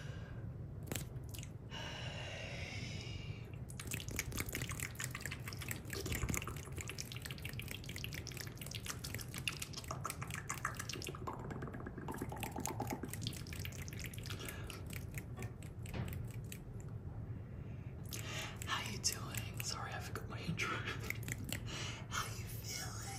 How you doing? Sorry, I forgot my intro. How you feeling?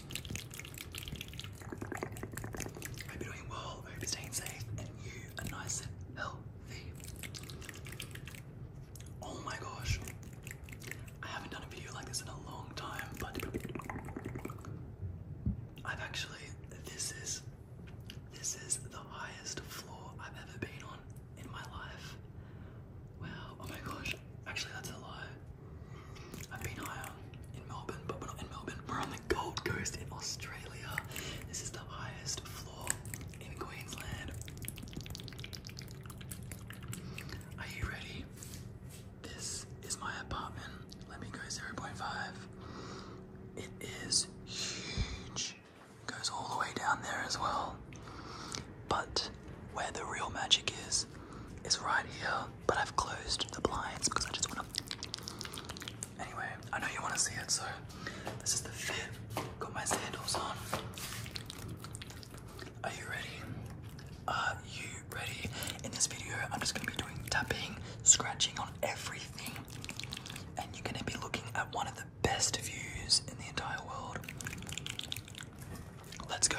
I hope you doing well, I hope staying safe, and you are nice and healthy. Oh my gosh, I haven't done a video like this in a long time, but I've actually, this is, this is the highest floor I've ever been on in my life. Wow, oh my gosh, actually that's a lie. I've been higher in Melbourne, but we're not in Melbourne. We're on the Gold Coast in Australia. This is the highest floor in Queensland. Are you ready? This is my apartment. Let me go 0.5. It is huge. Goes all the way down there as well. But where the real magic is, is right here, but I've closed the blinds because I just wanna. Anyway, I know you wanna see it, so this is the fit. Got my sandals on. Are you ready? Are you ready? In this video, I'm just gonna be doing tapping, scratching on everything, and you're gonna be looking at one of the best views in the entire world. Let's go.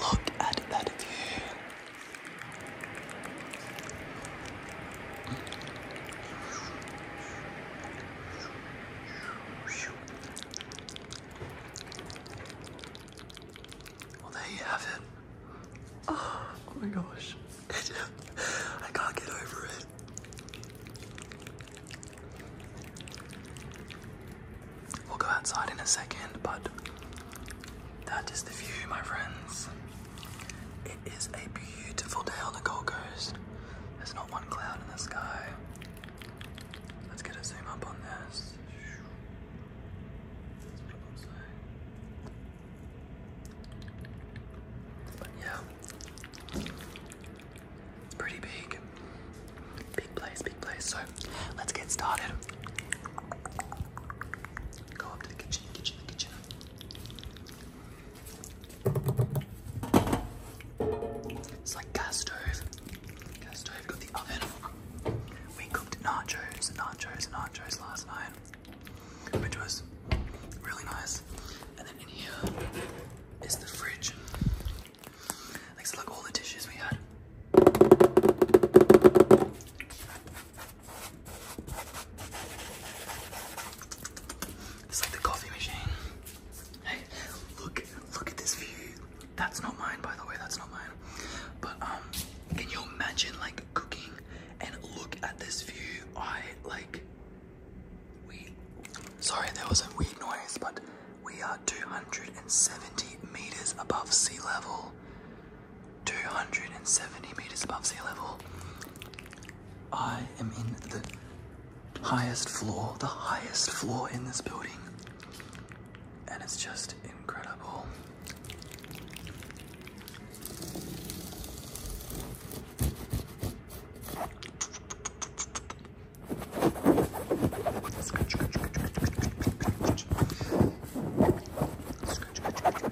Look at that view. Well, there you have it. Oh, my gosh. I can't get over it. We'll go outside in a second, but that is the view, my friends. It is a beautiful day on the Gold Coast. There's not one cloud in the sky. Let's get a zoom up on this. yeah, it's pretty big. Big place, big place. So let's get started. Go up to the kitchen, kitchen, kitchen. It's like gas stove. Gas stove, got the oven. We cooked nachos, nachos, nachos last night, which was really nice. And then in here is the fridge. Like, so look, all the dishes we had. It's like the coffee machine. Hey, look, look at this view. That's not mine, by the way, that's not mine. But, um, can you imagine, like, cooking and look at this view? I, like, we, sorry, there was a weird noise, but we are 270 meters above sea level. 270 meters above sea level. I am in the highest floor, the highest floor in this building. And it's just incredible. Scratch, scratch, scratch, scratch, scratch, scratch, scratch.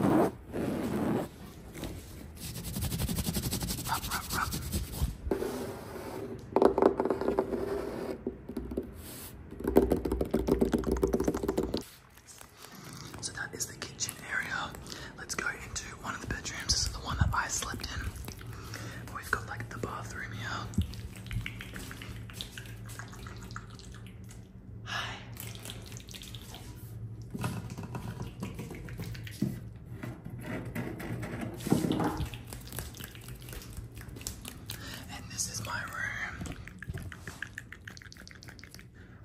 Rub, rub, rub. So that is the kitchen area. Let's go into one of the bedrooms. This is the one that I slept in. We've got like the bathroom here. Hi. And this is my room.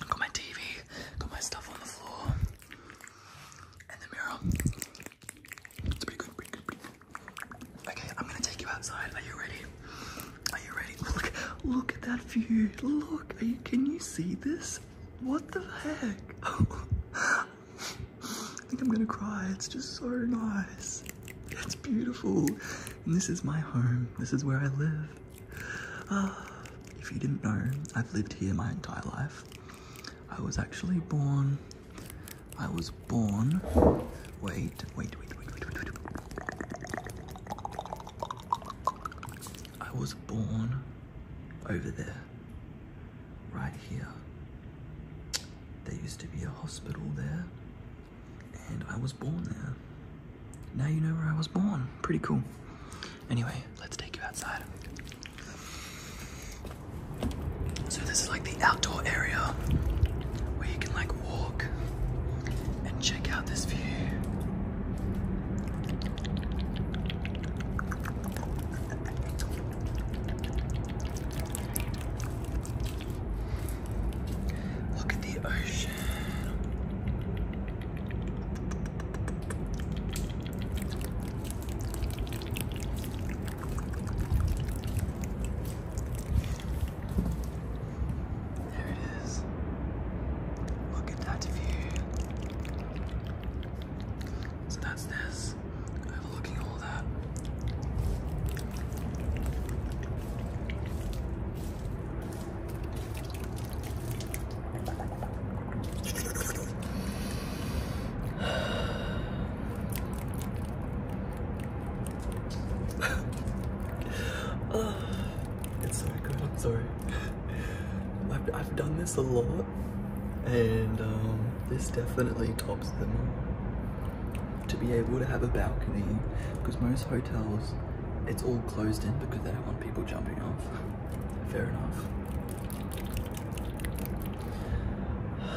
Got my TV, got my stuff on the floor, and the mirror. It's pretty good, pretty good, pretty Okay, I'm gonna take you outside. Are you ready? Are you ready? Look, look at that view. Look, can you see this? What the heck? I think I'm gonna cry. It's just so nice. It's beautiful. this is my home. This is where I live. Ah, if you didn't know, I've lived here my entire life. I was actually born I was born. Wait, wait, wait, wait, wait, wait. I was born over there, right here. There used to be a hospital there, and I was born there. Now you know where I was born. Pretty cool. Anyway, let's take you outside. So this is like the outdoor area where you can like walk and check out this view. Look at the ocean. There it is. Look at that view. So that's this, overlooking all that oh, it's so good, I'm sorry. I've, I've done this a lot, and um, this definitely tops them all. To be able to have a balcony, because most hotels, it's all closed in because they don't want people jumping off. Fair enough.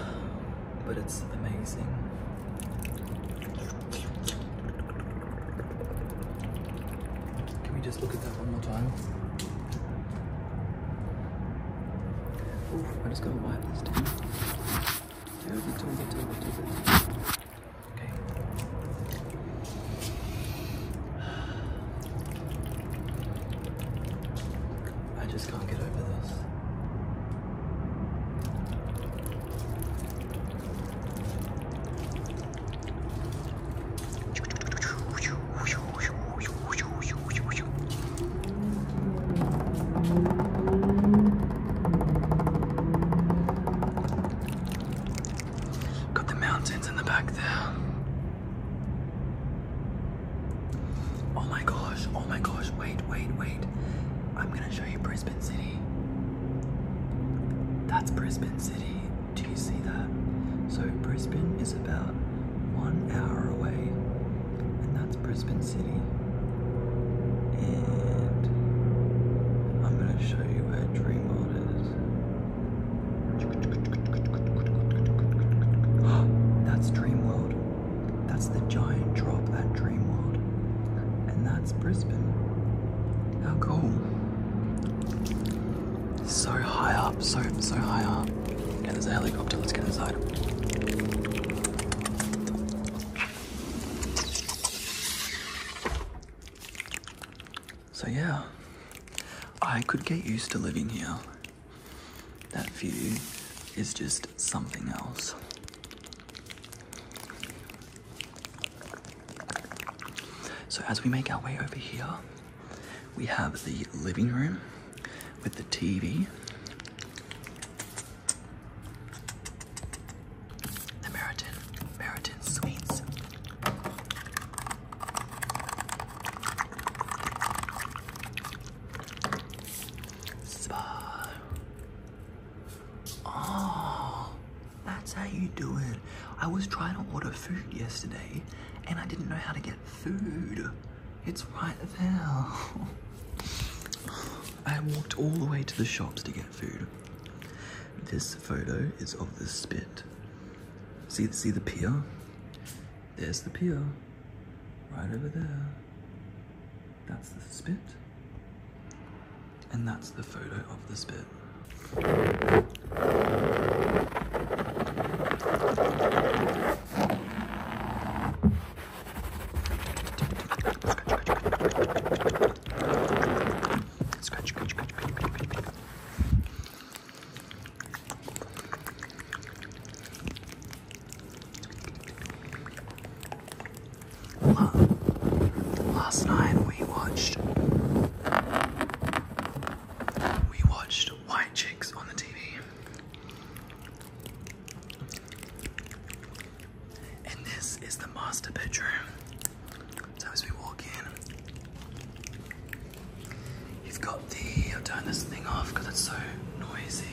but it's amazing. Can we just look at that one more time? I just gotta wipe this down. I just can't get over this. Got the mountains in the back there. Oh my gosh, oh my gosh, wait, wait, wait. I'm gonna show you Brisbane City. That's Brisbane City. Do you see that? So Brisbane is about one hour away, and that's Brisbane City. And I'm gonna show you where Dream World is. That's Dream World. That's the giant drop at Dreamworld. And that's Brisbane. How cool. So high up, so, so high up. Okay, there's a helicopter, let's get inside. So yeah, I could get used to living here. That view is just something else. So, as we make our way over here, we have the living room with the TV, the Meriton, Meriton Suites, Spa. Oh, that's how you do it. I was trying to order food yesterday and I didn't know how to get food. It's right there. I walked all the way to the shops to get food. This photo is of the spit. See, see the pier? There's the pier, right over there. That's the spit. And that's the photo of the spit. Last night we watched we watched White Chicks on the TV. And this is the master bedroom. So as we walk in, You've got the. I'll turn this thing off because it's so noisy.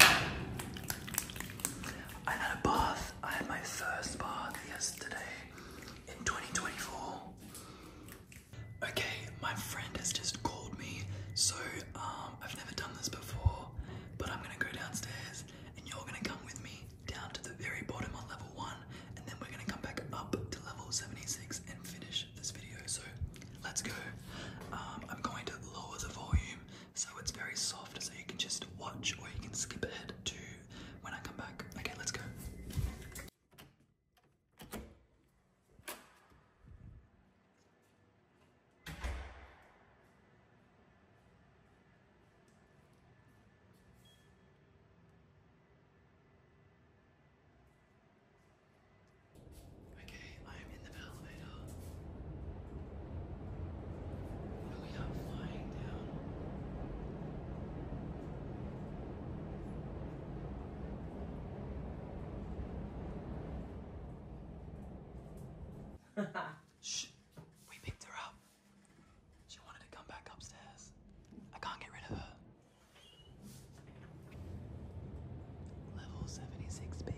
I had a bath. I had my first bath yesterday in 2024. Okay, my friend has just called me, so um, I've never done this before, but I'm gonna go downstairs and you're gonna come with me down to the very bottom on level 1, and then we're gonna come back up to level 76 and finish this video, so let's go. Um, I'm going to lower the volume so it's very soft, so you can just watch or you can skip ahead to when I come back. Okay, let's go. Okay, I am in the elevator. we are flying down. Shh. We picked her up. She wanted to come back upstairs. I can't get rid of her. Level 76, baby.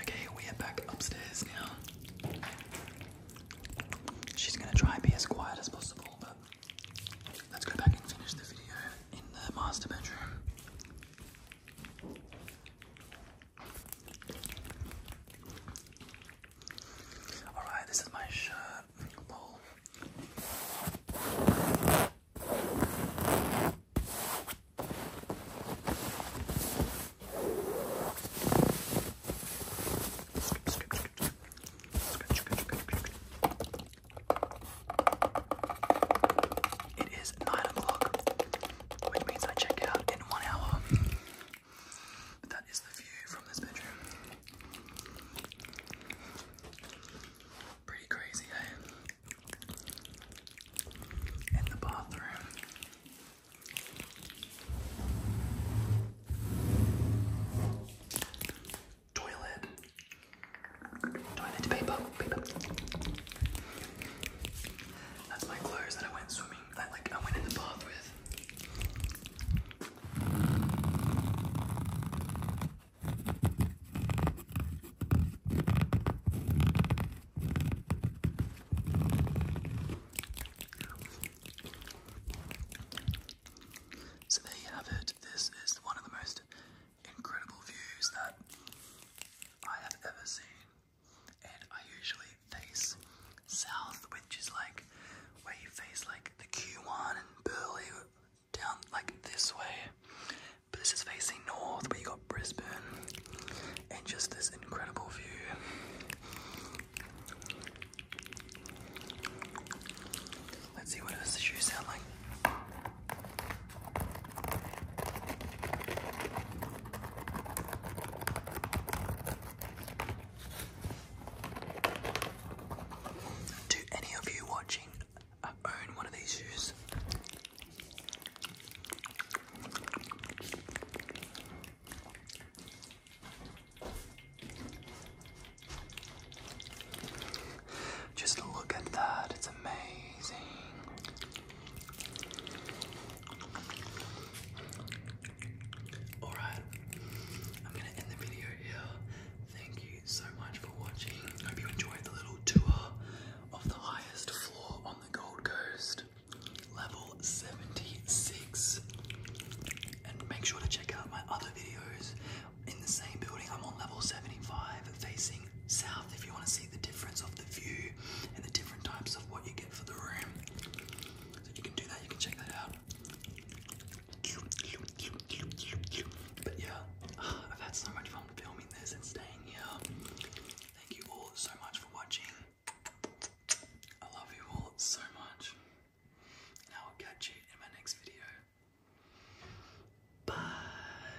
Okay, we are back upstairs now. She's gonna try and be as quiet as possible, but let's go back and finish the video in the master bedroom. Alright, this is my shirt. It is nine o'clock, which means I check out in one hour that is the view from this bedroom. Pretty crazy, eh? In the bathroom. Toilet. Toilet paper. paper. That's my clothes that I went swimming I went in the bath with. So there you have it. This is one of the most incredible views that I have ever seen and I usually face south, which is like where you face like the Q1 and Burley down like this way. But this is facing north, where you got Brisbane and just this incredible view. Let's see what does the shoe sound like. Do any of you watching uh, own one of these shoes? Just look at that, it's amazing. Alright, I'm gonna end the video here. Thank you so much for watching. Hope you enjoyed the little tour of the highest floor on the Gold Coast, level 76. And make sure to check out my other videos in the same building. I'm on level 75 facing south if you want to see the difference of the view and the different types of what you get for the room. So you can do that, you can check that out. But yeah, I've had so much fun filming this and staying here. Thank you all so much for watching. I love you all so much. And I will catch you in my next video. Bye.